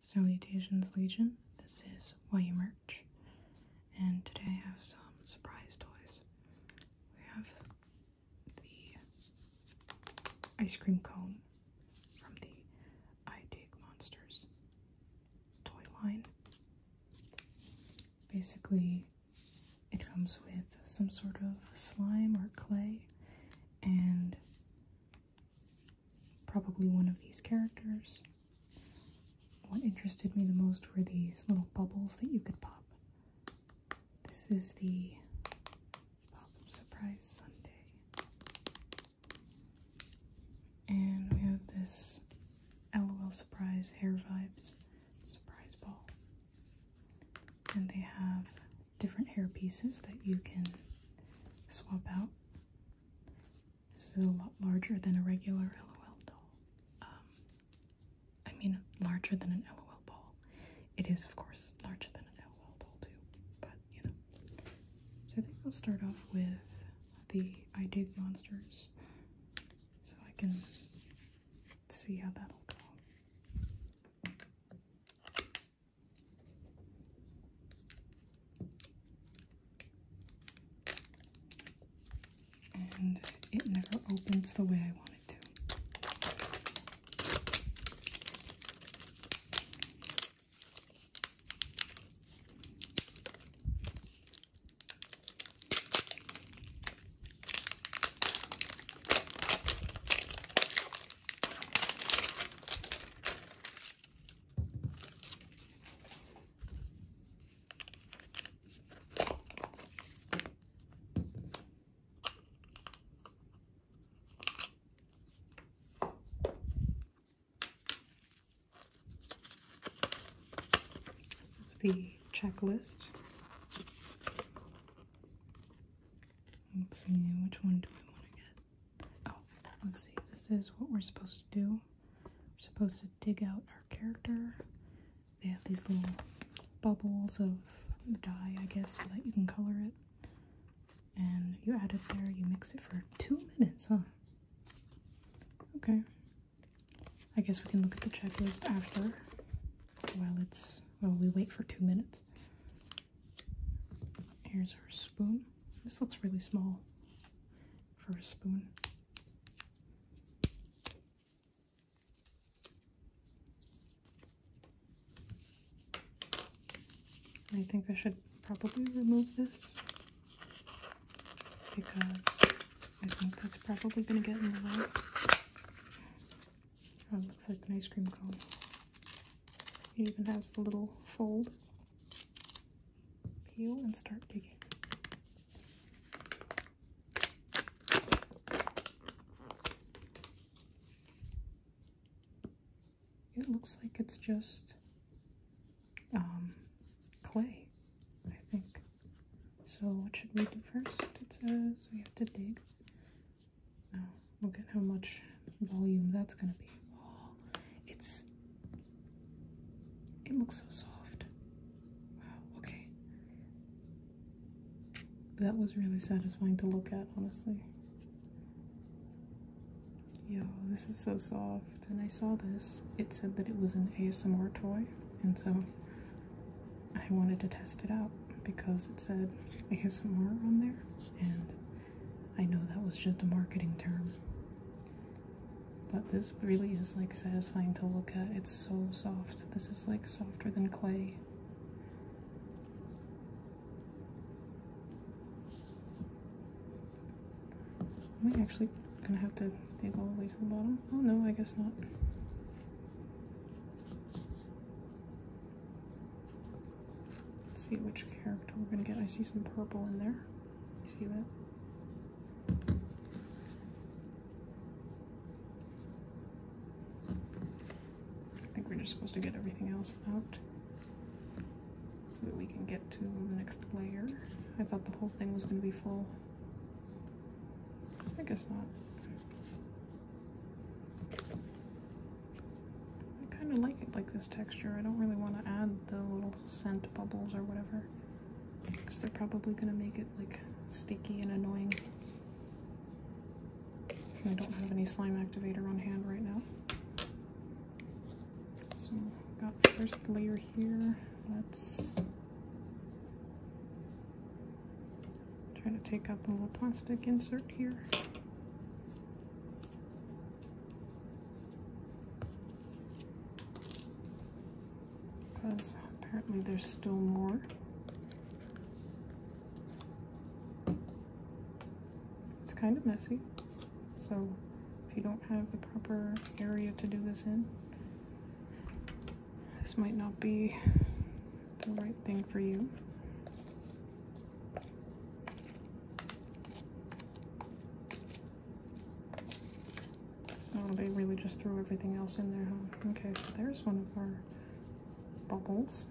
Salutations Legion, this is YU Merch, and today I have some surprise toys. We have the ice cream cone from the I Dig Monsters toy line. Basically, it comes with some sort of slime or clay and probably one of these characters. What interested me the most were these little bubbles that you could pop. This is the Pop Surprise Sunday. And we have this LOL Surprise Hair Vibes Surprise Ball. And they have different hair pieces that you can swap out this is a lot larger than a regular LOL doll. Um, I mean, larger than an LOL ball. It is, of course, larger than an LOL doll, too, but you know. So I think I'll start off with the I Monsters so I can see how that'll go. And it never opens the way I want it to. This is the checklist. Let's see, which one do we want to get? Oh, let's see. This is what we're supposed to do. We're supposed to dig out our character. They have these little bubbles of dye, I guess, so that you can color it. And you add it there, you mix it for two minutes, huh? Okay. I guess we can look at the checklist after while it's while we wait for two minutes. Here's our spoon. This looks really small for a spoon. I think I should probably remove this because I think that's probably going to get in the way. Oh, looks like an ice cream cone. It even has the little fold peel and start digging. It looks like it's just um, clay, I think. So what should we do first? It says we have to dig. Oh, look at how much volume that's going to be. it's. It looks so soft. Wow, okay. That was really satisfying to look at, honestly. Yo, this is so soft. And I saw this. It said that it was an ASMR toy, and so I wanted to test it out because it said ASMR on there, and I know that was just a marketing term. But this really is like satisfying to look at. It's so soft. This is like softer than clay. Am I actually gonna have to dig all the way to the bottom? Oh no, I guess not. Let's see which character we're gonna get. I see some purple in there. I think we're just supposed to get everything else out so that we can get to the next layer. I thought the whole thing was going to be full. I guess not. I kind of like it like this texture. I don't really want to add the little scent bubbles or whatever because they're probably going to make it like sticky and annoying. I don't have any slime activator on hand right now. So I've got first layer here. Let's try to take out the little plastic insert here. Because apparently there's still more. It's kind of messy. So if you don't have the proper area to do this in, this might not be the right thing for you. Oh, they really just threw everything else in there, huh? Okay, so there's one of our bubbles.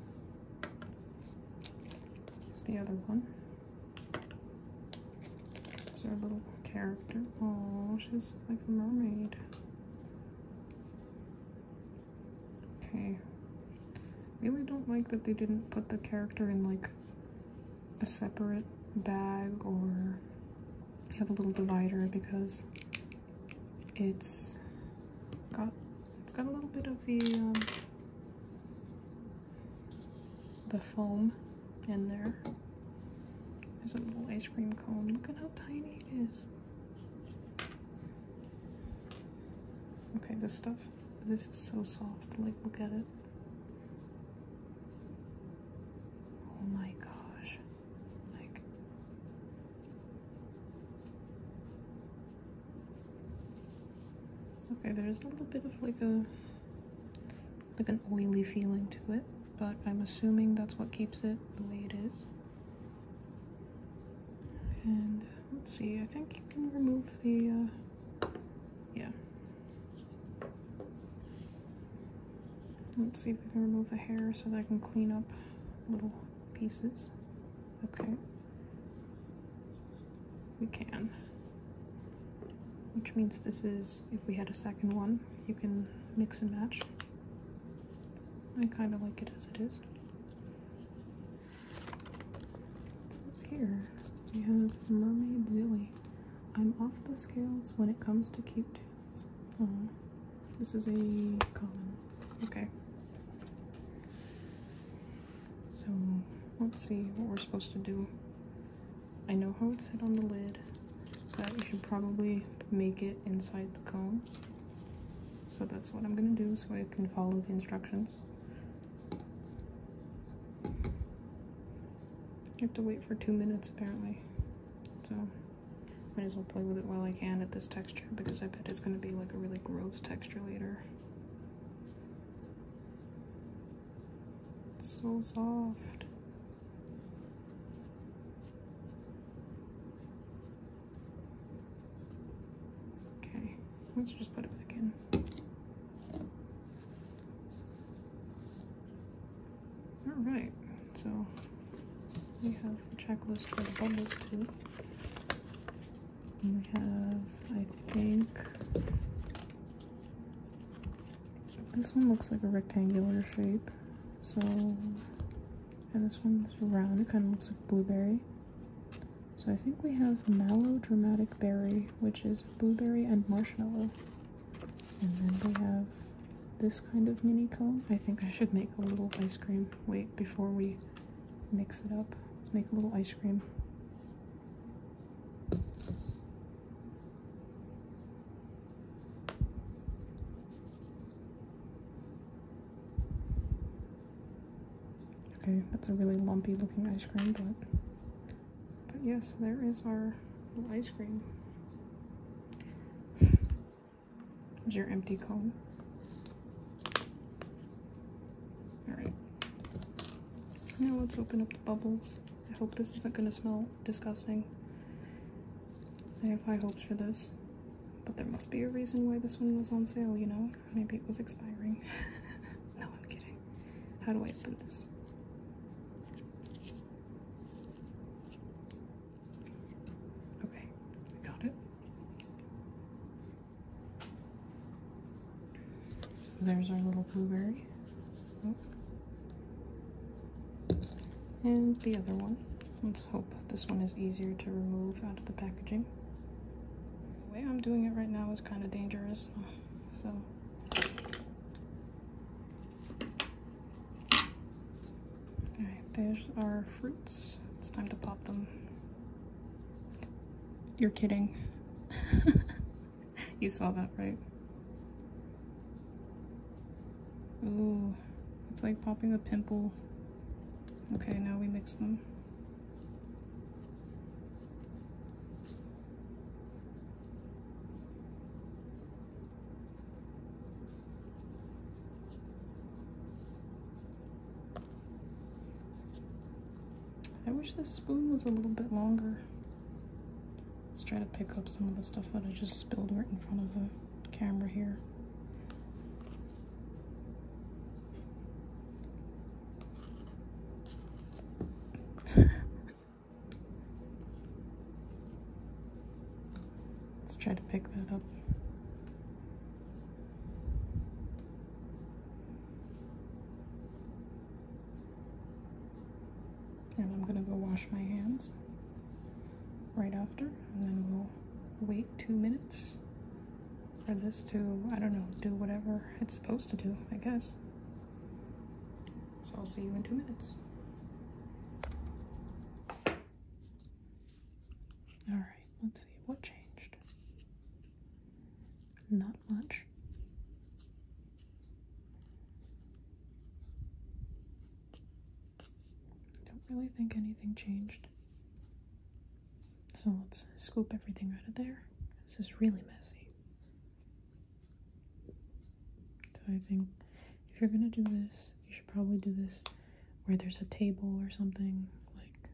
Here's the other one. There's a little character. Oh, she's like a mermaid. Okay. Really don't like that they didn't put the character in like a separate bag or have a little divider because it's got it's got a little bit of the um, the foam in there. There's a little ice cream cone. Look at how tiny it is. Okay, this stuff, this is so soft. Like, look at it. Oh my gosh. Like Okay, there's a little bit of like a like an oily feeling to it, but I'm assuming that's what keeps it the way it is. And let's see, I think you can remove the uh, yeah, Let's see if we can remove the hair so that I can clean up little pieces. Okay. We can. Which means this is, if we had a second one, you can mix and match. I kind of like it as it is. So what's here? We have Mermaid Zilly. I'm off the scales when it comes to cute tails. Uh-huh. this is a common. Okay. So, let's see what we're supposed to do. I know how it's hit on the lid, but you should probably make it inside the cone. So that's what I'm going to do so I can follow the instructions. You have to wait for two minutes apparently. So might as well play with it while I can at this texture because I bet it's gonna be like a really gross texture later. It's so soft. Okay, let's just put it back in. All right, so we have the checklist for the bubbles too. And we have, I think, this one looks like a rectangular shape. So, and this one is round, it kind of looks like blueberry. So I think we have Mallow Dramatic Berry, which is blueberry and marshmallow. And then we have this kind of mini cone. I think I should make a little ice cream. Wait, before we mix it up, let's make a little ice cream. Okay, that's a really lumpy looking ice cream, but but yes, there is our ice cream. Is your empty cone. Alright. Now let's open up the bubbles. I hope this isn't going to smell disgusting. I have high hopes for this. But there must be a reason why this one was on sale, you know? Maybe it was expiring. no, I'm kidding. How do I open this? Okay, we got it. So there's our little blueberry. Oh. And the other one. Let's hope this one is easier to remove out of the packaging. The way I'm doing it right now is kind of dangerous, so Alright, there's our fruits. It's time to pop them. You're kidding. you saw that, right? Ooh, it's like popping a pimple. Okay, now we mix them. I wish this spoon was a little bit longer. Let's try to pick up some of the stuff that I just spilled right in front of the camera here. Let's try to pick that up. And I'm gonna go wash my hands right after, and then we'll wait two minutes for this to, I don't know, do whatever it's supposed to do, I guess. So I'll see you in two minutes. All right, let's see what changed. Not much. I Don't really think anything changed. So let's scoop everything out of there. This is really messy. So I think if you're gonna do this, you should probably do this where there's a table or something like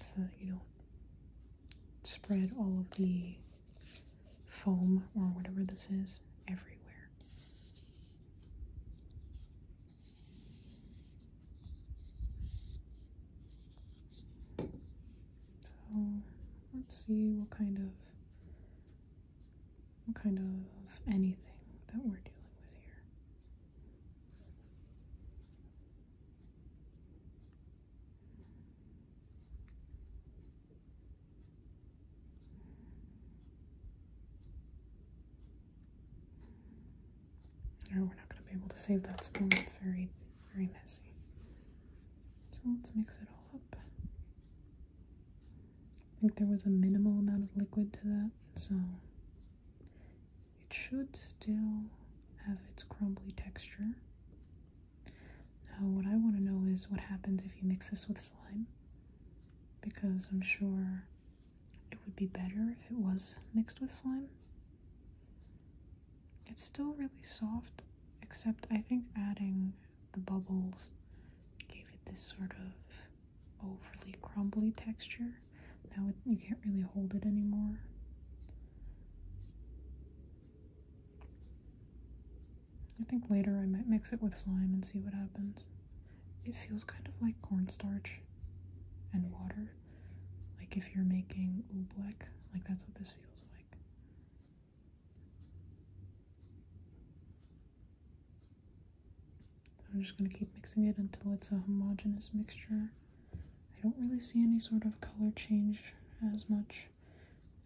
so you don't spread all of the foam or whatever this is everywhere. So let's see what kind of what kind of anything that we're dealing with here. No, we're not going to be able to save that spoon. It's very, very messy. So let's mix it all up. I think there was a minimal amount of liquid to that, so it should still have its crumbly texture. Now, what I want to know is what happens if you mix this with slime, because I'm sure it would be better if it was mixed with slime. It's still really soft, except I think adding the bubbles gave it this sort of overly crumbly texture. Now you can't really hold it anymore. I think later I might mix it with slime and see what happens. It feels kind of like cornstarch and water. Like if you're making oobleck, like that's what this feels like. I'm just going to keep mixing it until it's a homogeneous mixture. I don't really see any sort of color change as much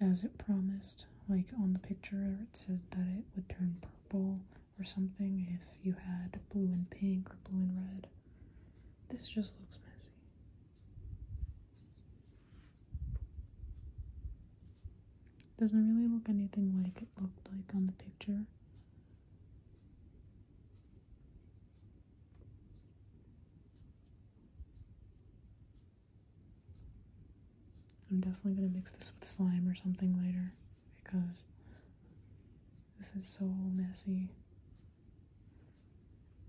as it promised. Like on the picture, it said that it would turn purple or something if you had blue and pink or blue and red. This just looks messy. Doesn't really look anything like it looked like on the picture. I'm definitely going to mix this with slime or something later because this is so messy.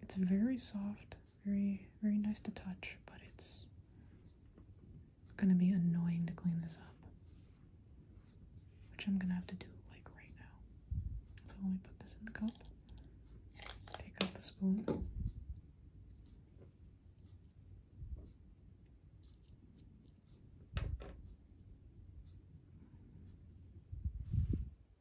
It's very soft, very very nice to touch, but it's gonna be annoying to clean this up. Which I'm gonna have to do like right now. So let me put this in the cup. Take out the spoon.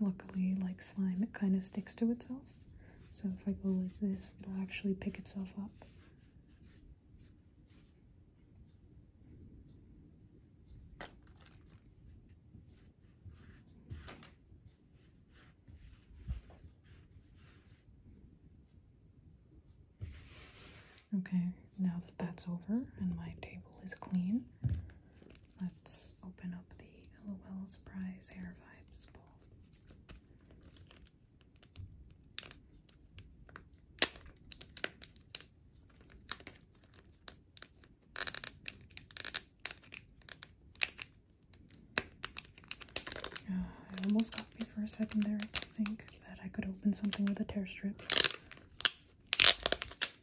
Luckily, like slime, it kind of sticks to itself. So if I go like this, it'll actually pick itself up. Okay, now that that's over and my table is clean, Let's open up the LOL Surprise Hair Vibes ball. Uh, almost got me for a second there, I think, that I could open something with a tear strip.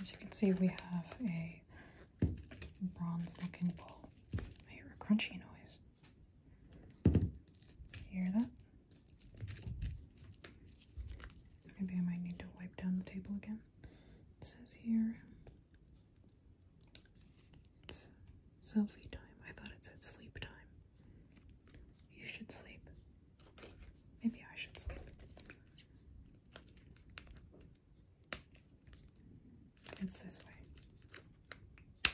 As you can see, we have a bronze looking bowl. I hear a crunchy noise. You hear that? Maybe I might need to wipe down the table again. It says here it's selfie time. I thought it said sleep time. You should sleep. Maybe I should sleep. It's this way.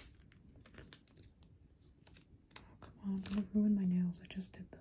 Oh, come on. I'm gonna ruin my nails. I just did them.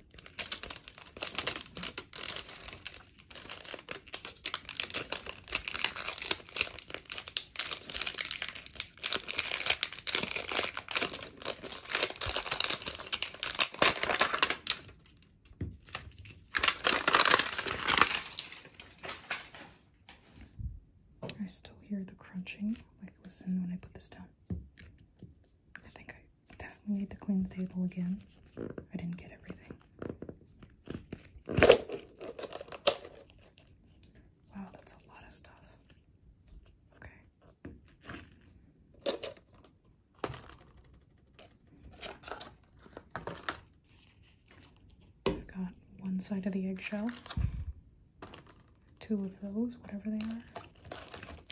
I still hear the crunching. Like, listen when I put this down. I think I I definitely need to clean the table again. I didn't get everything. Wow, that's a lot of stuff. Okay. I've got one side of the eggshell, two of those, whatever they are.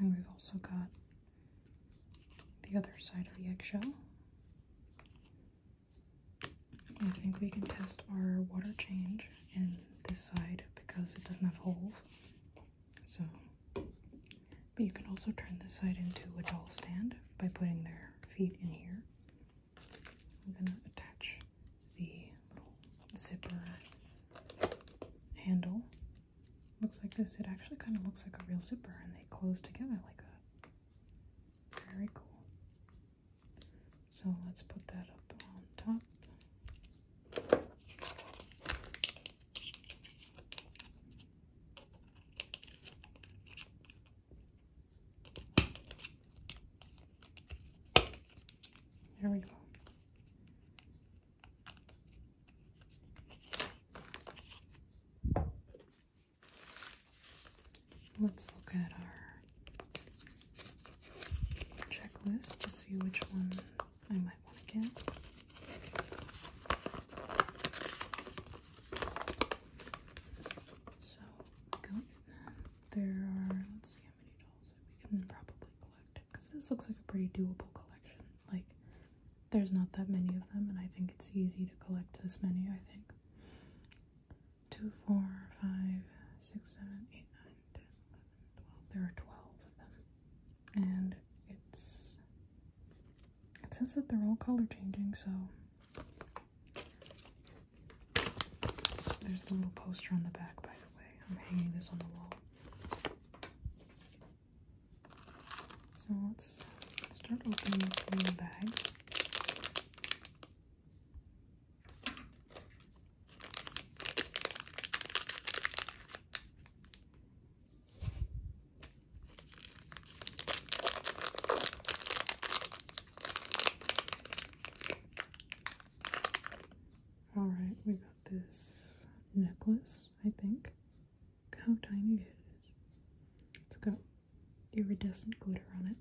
And we've also got the other side of the eggshell. I think we can test our water change in this side because it doesn't have holes. So, but you can also turn this side into a doll stand by putting their feet in here. I'm gonna attach the little zipper handle. Looks like this. It actually kind of looks like a real zipper and they close together like that. Very cool. So let's put that up on top. There we go. Let's look at our checklist to see which one I might want to get. So, There are, let's see how many dolls we can probably collect. Because this looks like a pretty doable collection. Like, there's not that many of them, and I think it's easy to collect this many, I think. 2, 4, 5, 6, 7, 8, 9, there are 12 of them. And it's. It says that they're all color changing, so. There's the little poster on the back, by the way. I'm hanging this on the wall. So let's start opening the bag. All right, we got this necklace, I think. Look how tiny it is. It's got iridescent glitter on it.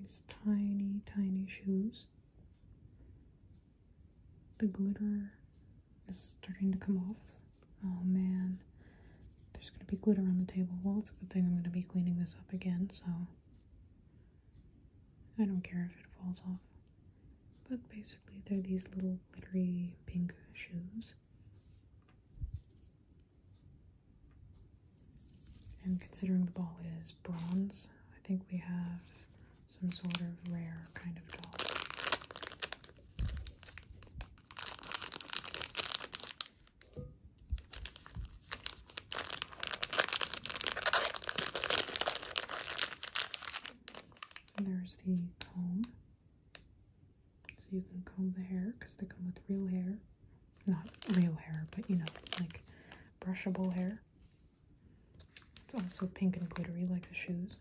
These tiny, tiny shoes. The glitter is starting to come off. Oh man, there's gonna be glitter on the table. Well, it's a good thing I'm gonna be cleaning this up again, so I don't care if it falls off. But basically, they're these little glittery pink shoes. And considering the ball is bronze, I think we have some sort of rare kind of doll there's the comb. So you can comb the hair because they come with real hair. Not real hair, but you know, like brushable hair. It's also pink and glittery like the shoes.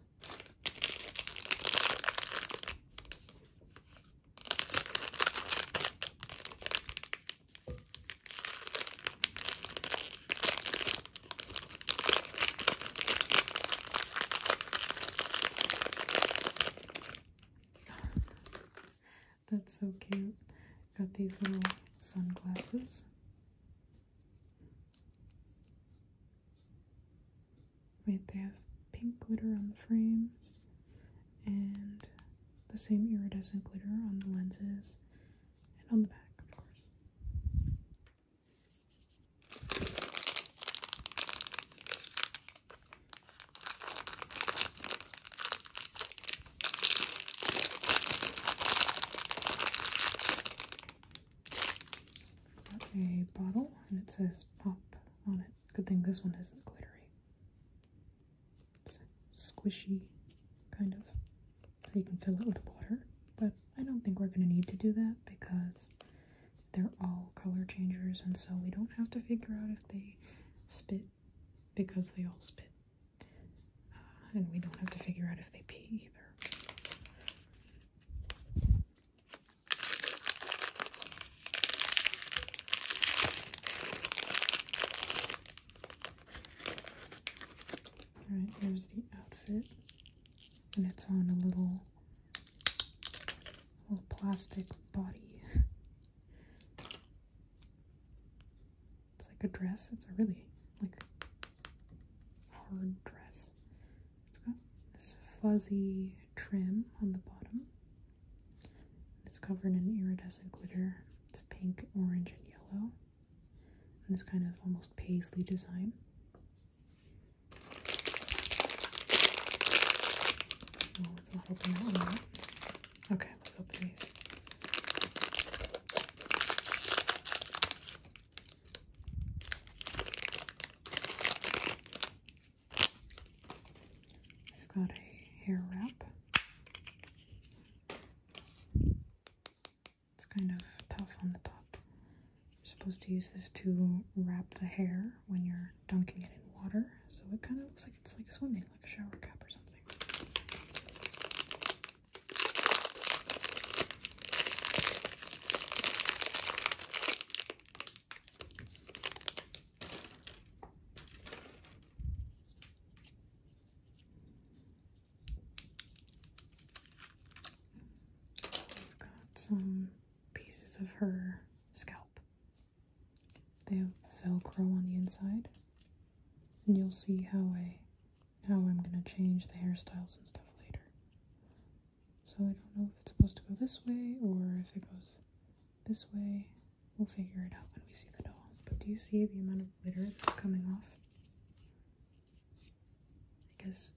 That's so cute. Got these little sunglasses. Right, they have pink glitter on the frames and the same iridescent glitter on the lenses and on the back, of course. Got a bottle and it says pop on it. Good thing this one isn't glittery. It's squishy, kind of. So you can fill it with water. But I don't think we're going to need to do that because they're all color changers and so we don't have to figure out if they spit because they all spit. Uh, and we don't have to figure out if they pee either. Alright, here's the outfit. And it's on a little, little plastic body. It's like a dress. It's a really like hard dress. It's got this fuzzy trim on the bottom. It's covered in iridescent glitter. It's pink, orange, and yellow. And this kind of almost paisley design. Okay, let's open these. I've got a hair wrap. It's kind of tough on the top. You're supposed to use this to wrap the hair when you're dunking it in water, so it kind of looks like it's like swimming, like a shower cap or something. I've got some pieces of her scalp. They have velcro on the inside. And you'll see how I how I'm gonna change the hairstyles and stuff later. So I don't know if it's supposed to go this way or if it goes this way. We'll figure it out when we see the doll. But do you see the amount of glitter coming off? I guess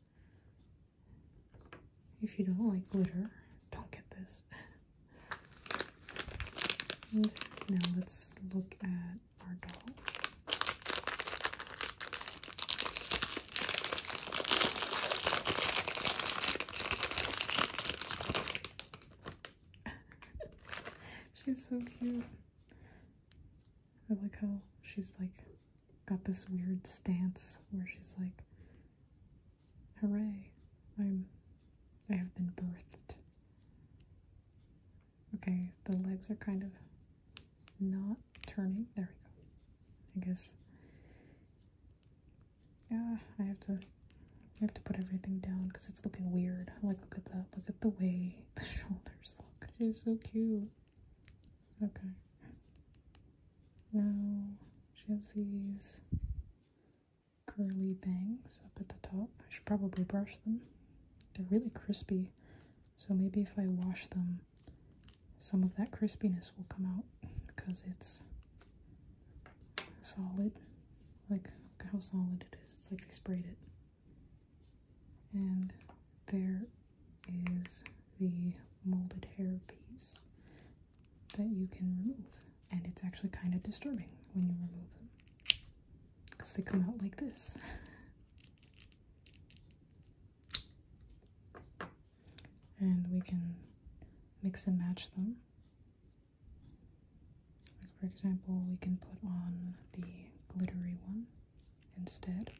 if you don't like glitter, don't get this. and now let's look at our doll. she's so cute. I like how she's like got this weird stance where she's like, hooray, I'm, I have been birthed. Okay, the legs are kind of not turning. There we go. I guess yeah, I have to I have to put everything down because it's looking weird. Like look at that. Look at the way the shoulders look. She's so cute. Okay. Now she has these curly bangs up at the top. I should probably brush them. They're really crispy. So maybe if I wash them some of that crispiness will come out because it's solid. Like, how solid it is. It's like they sprayed it. And there is the molded hair piece that you can remove. And it's actually kind of disturbing when you remove them because they come out like this. and we can mix and match them. Like for example, we can put on the glittery one instead.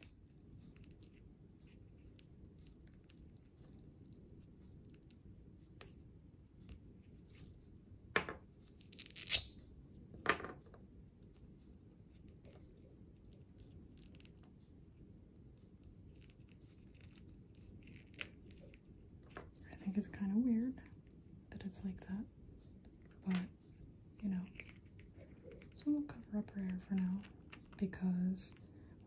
I think it's kind of weird that it's like that, but you know. So we'll cover up her hair for now because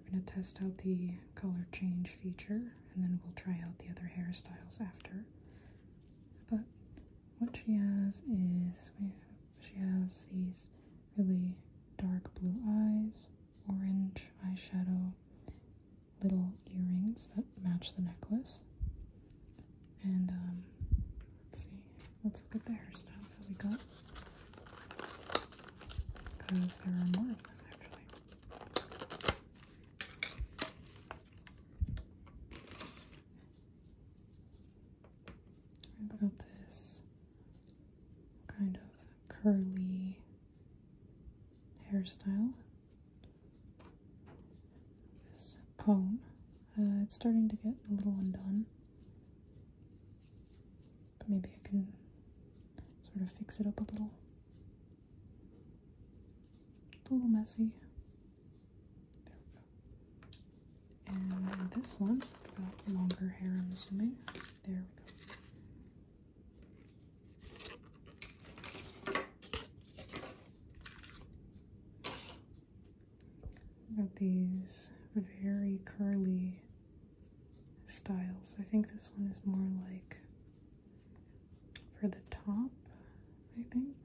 we're going to test out the color change feature and then we'll try out the other hairstyles after. But what she has is she has these really dark blue eyes, orange eyeshadow, little earrings that match the necklace. And um, let's see, let's look at the hairstyles that we got. Because there are more of them actually. I've got this kind of curly hairstyle. This cone, uh, it's starting to get a little undone. But maybe I can sort of fix it up a little. It's a little messy. There we go. And this one, longer hair, I'm assuming. There we go. Got these very curly styles. I think this one is more like for the top, I think.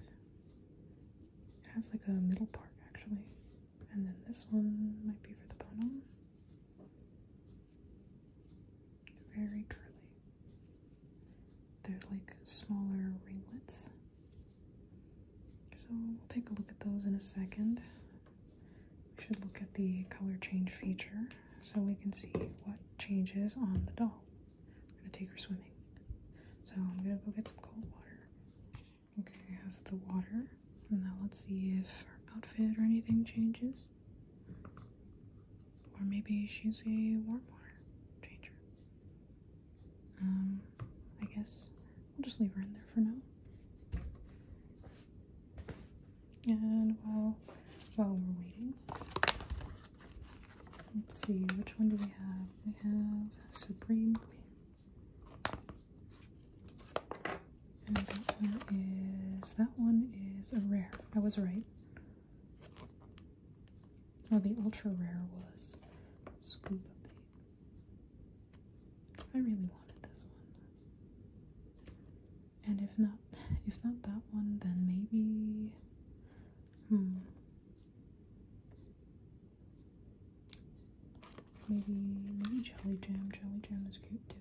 It has like a middle part actually. And then this one might be for the bottom. Very curly. They're like smaller ringlets. So we'll take a look at those in a second. We should look at the color change feature so we can see what changes on the doll. I'm gonna take her swimming. So I'm gonna go get some cold water. Okay, I have the water. and Now let's see if our outfit or anything changes. Or maybe she's a warm water changer. Um, I guess we'll just leave her in there for now. And while while we're waiting, let's see which one do we have. We have Supreme Queen. And that one is, that one is a rare. I was right. Oh, the ultra rare was Scuba I really wanted this one. And if not, if not that one, then maybe, hmm. Maybe, maybe Jelly Jam. Jelly Jam is cute too.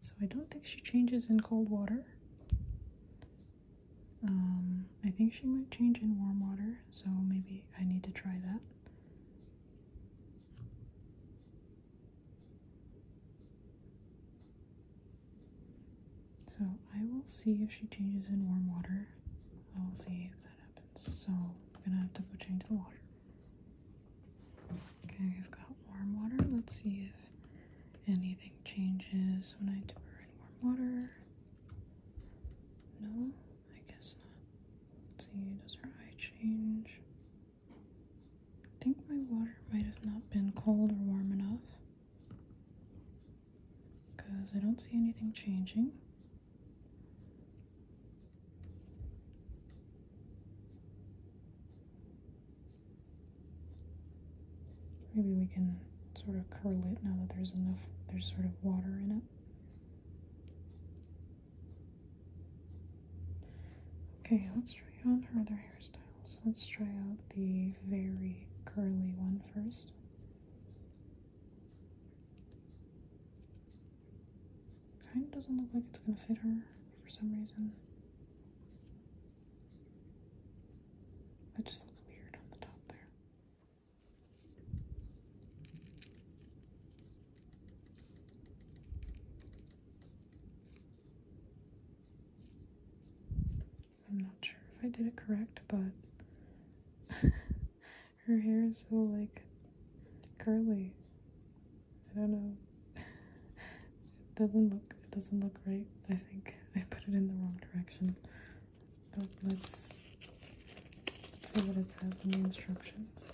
So I don't think she changes in cold water. Um, I think she might change in warm water, so maybe I need to try that. So I will see if she changes in warm water. I will see if that happens. So I'm gonna have to go change the water. Okay, I've got warm water. Let's see if anything changes when I dip her in warm water. No, I guess not. see, does her eye change? I think my water might have not been cold or warm enough because I don't see anything changing. Maybe we can sort of curl it now that there's enough, there's sort of water in it. Okay, let's try on her other hairstyles. Let's try out the very curly one first. Kind of doesn't look like it's gonna fit her for some reason. That just looks weird on the top there. I'm not sure if I did it correct, but her hair is so like curly. I don't know. it doesn't look it doesn't look right. I think I put it in the wrong direction. But let's, let's see what it says in the instructions.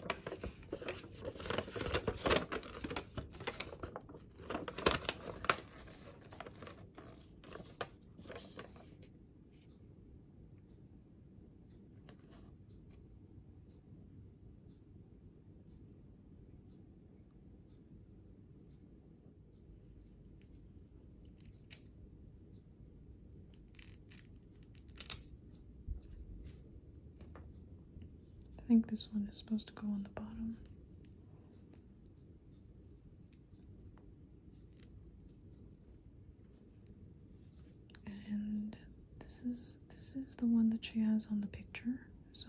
I think this one is supposed to go on the bottom and this is this is the one that she has on the picture so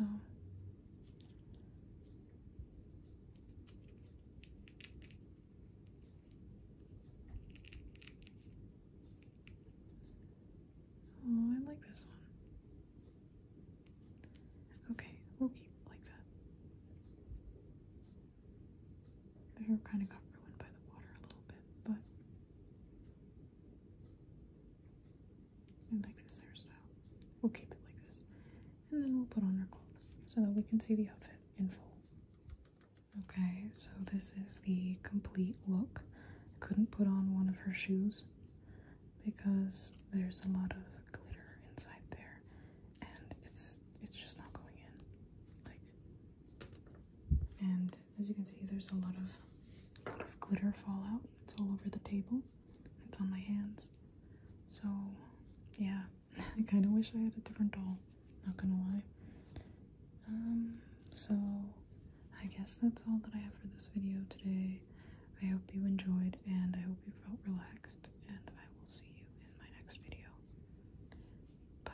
Oh, I like this one. Okay, we'll keep like that. The hair kind of got ruined by the water a little bit, but I like this hairstyle. We'll keep it like this. And then we'll put on our clothes so that we can see the outfit in full. Okay, so this is the complete look. I couldn't put on one of her shoes because there's a lot of glitter inside there and it's it's just not going in. Like and as you can see, there's a lot of, a lot of glitter fallout. It's all over the table. It's on my hands. So, yeah, I kind of wish I had a different doll. Not gonna lie. Um, so I guess that's all that I have for this video today. I hope you enjoyed and I hope you felt relaxed and I will see you in my next video. Bye.